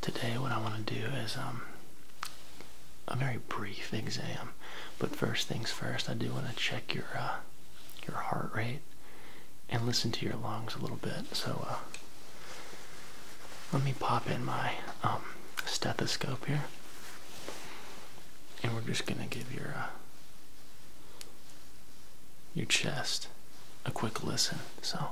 Today what I want to do is um, a very brief exam, but first things first, I do want to check your, uh, your heart rate and listen to your lungs a little bit. So uh, let me pop in my um, stethoscope here and we're just going to give your, uh, your chest a quick listen. So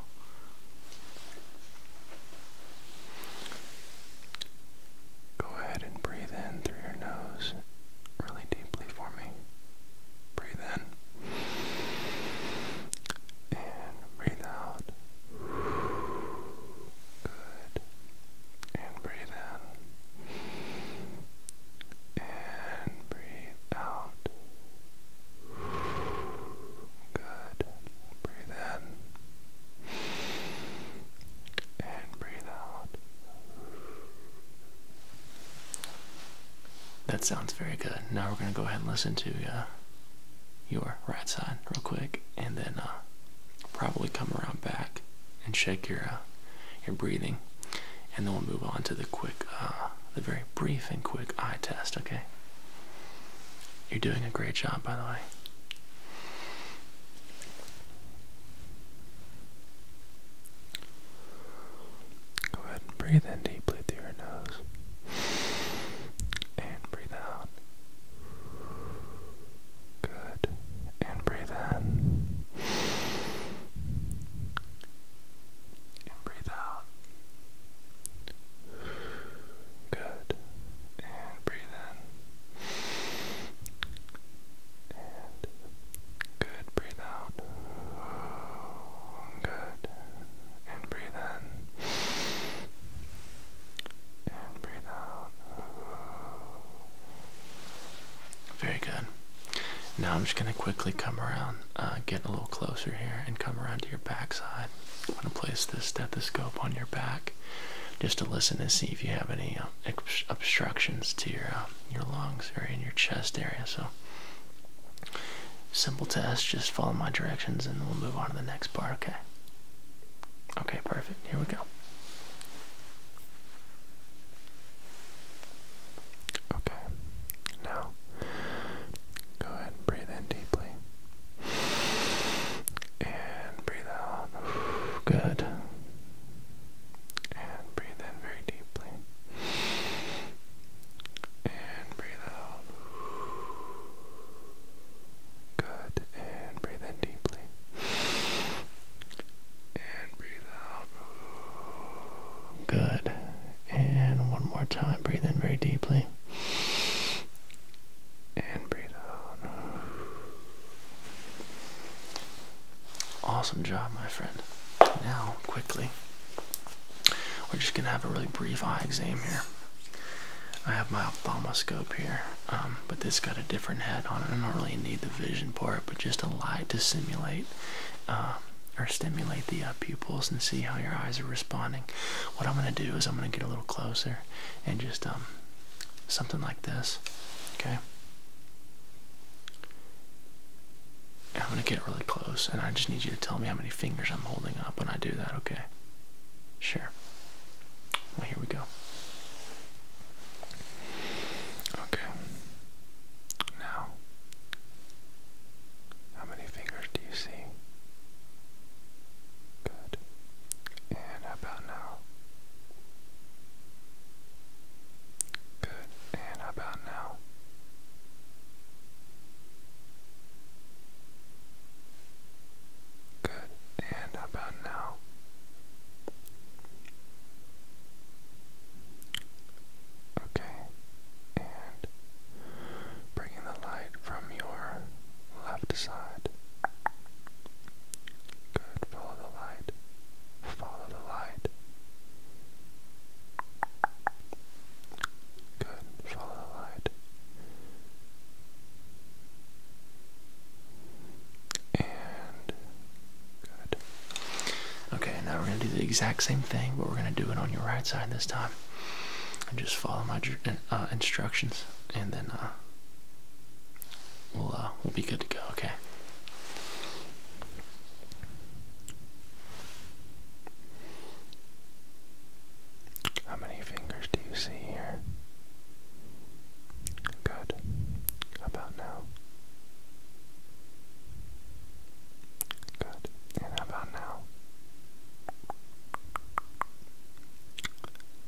Go ahead and breathe in through your nose really deeply for me. Breathe in. And breathe out. Good. And breathe in. And breathe out. Good. Breathe in. And breathe out. That sounds very good. Now we're going to go ahead and listen to uh, your right side real quick, and then uh, probably come around back and check your uh, your breathing and then we'll move on to the quick, uh, the very brief and quick eye test. Okay. You're doing a great job, by the way. Go ahead breathe in deeply through your nose. And breathe out. Good. And breathe in and breathe out. Good. And breathe in. And good. Breathe out. Good. And breathe in. And breathe out. Very good. Now I'm just going to quickly come around, uh, get a little closer here, and come around to your backside. I'm going to place the stethoscope on your back just to listen and see if you have any uh, obstructions to your uh, your lungs or in your chest area. So simple test. Just follow my directions, and we'll move on to the next part. Okay. Okay. Perfect. Here we go. Okay, now go ahead and breathe in deeply. And breathe out. Good. And breathe in very deeply. And breathe out. Good. And breathe in deeply. And breathe out. Good. And one more time. Breathe in very deeply. And breathe out. Awesome job, my friend. Now, quickly, we're just going to have a really brief eye exam here. I have my ophthalmoscope here. Um, but this got a different head on it. I don't really need the vision part, but just a light to simulate um, or stimulate the uh, pupils and see how your eyes are responding. What I'm going to do is I'm going to get a little closer and just um, something like this. Okay. I'm going to get really close, and I just need you to tell me how many fingers I'm holding up when I do that. Okay. Sure here we go. Okay. Now, how many fingers do you see? Good. And about now? Good. And about now? Good, and how about now? Okay, and bringing the light from your left side. Good, follow the light, follow the light. Good, follow the light. And good. Okay, now we're going to do the exact same thing, but we're going to do it on your right side this time. And just follow my uh, instructions, and then uh, we'll uh, we'll be good to go. Okay. How many fingers do you see here? Good. about now? Good. And about now?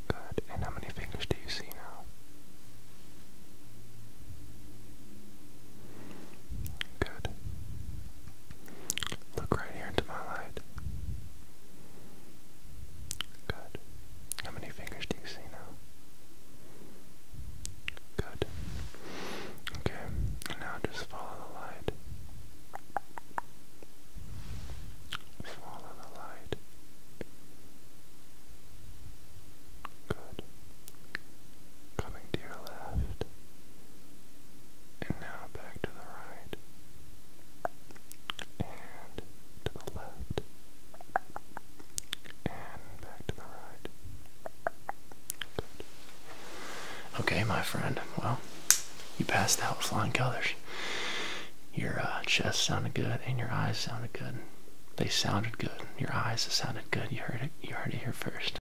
Good. And how many fingers do you see now? Good. Look right here into my light. Good. How many fingers do you see now? Good. Okay, now just follow the light. Follow the light. Good. Coming to your left. And now back to the right. And to the left. And back to the right. Okay, my friend. Well, you passed out flying colors. Your uh, chest sounded good, and your eyes sounded good. They sounded good. Your eyes sounded good. You heard it. You heard it here first.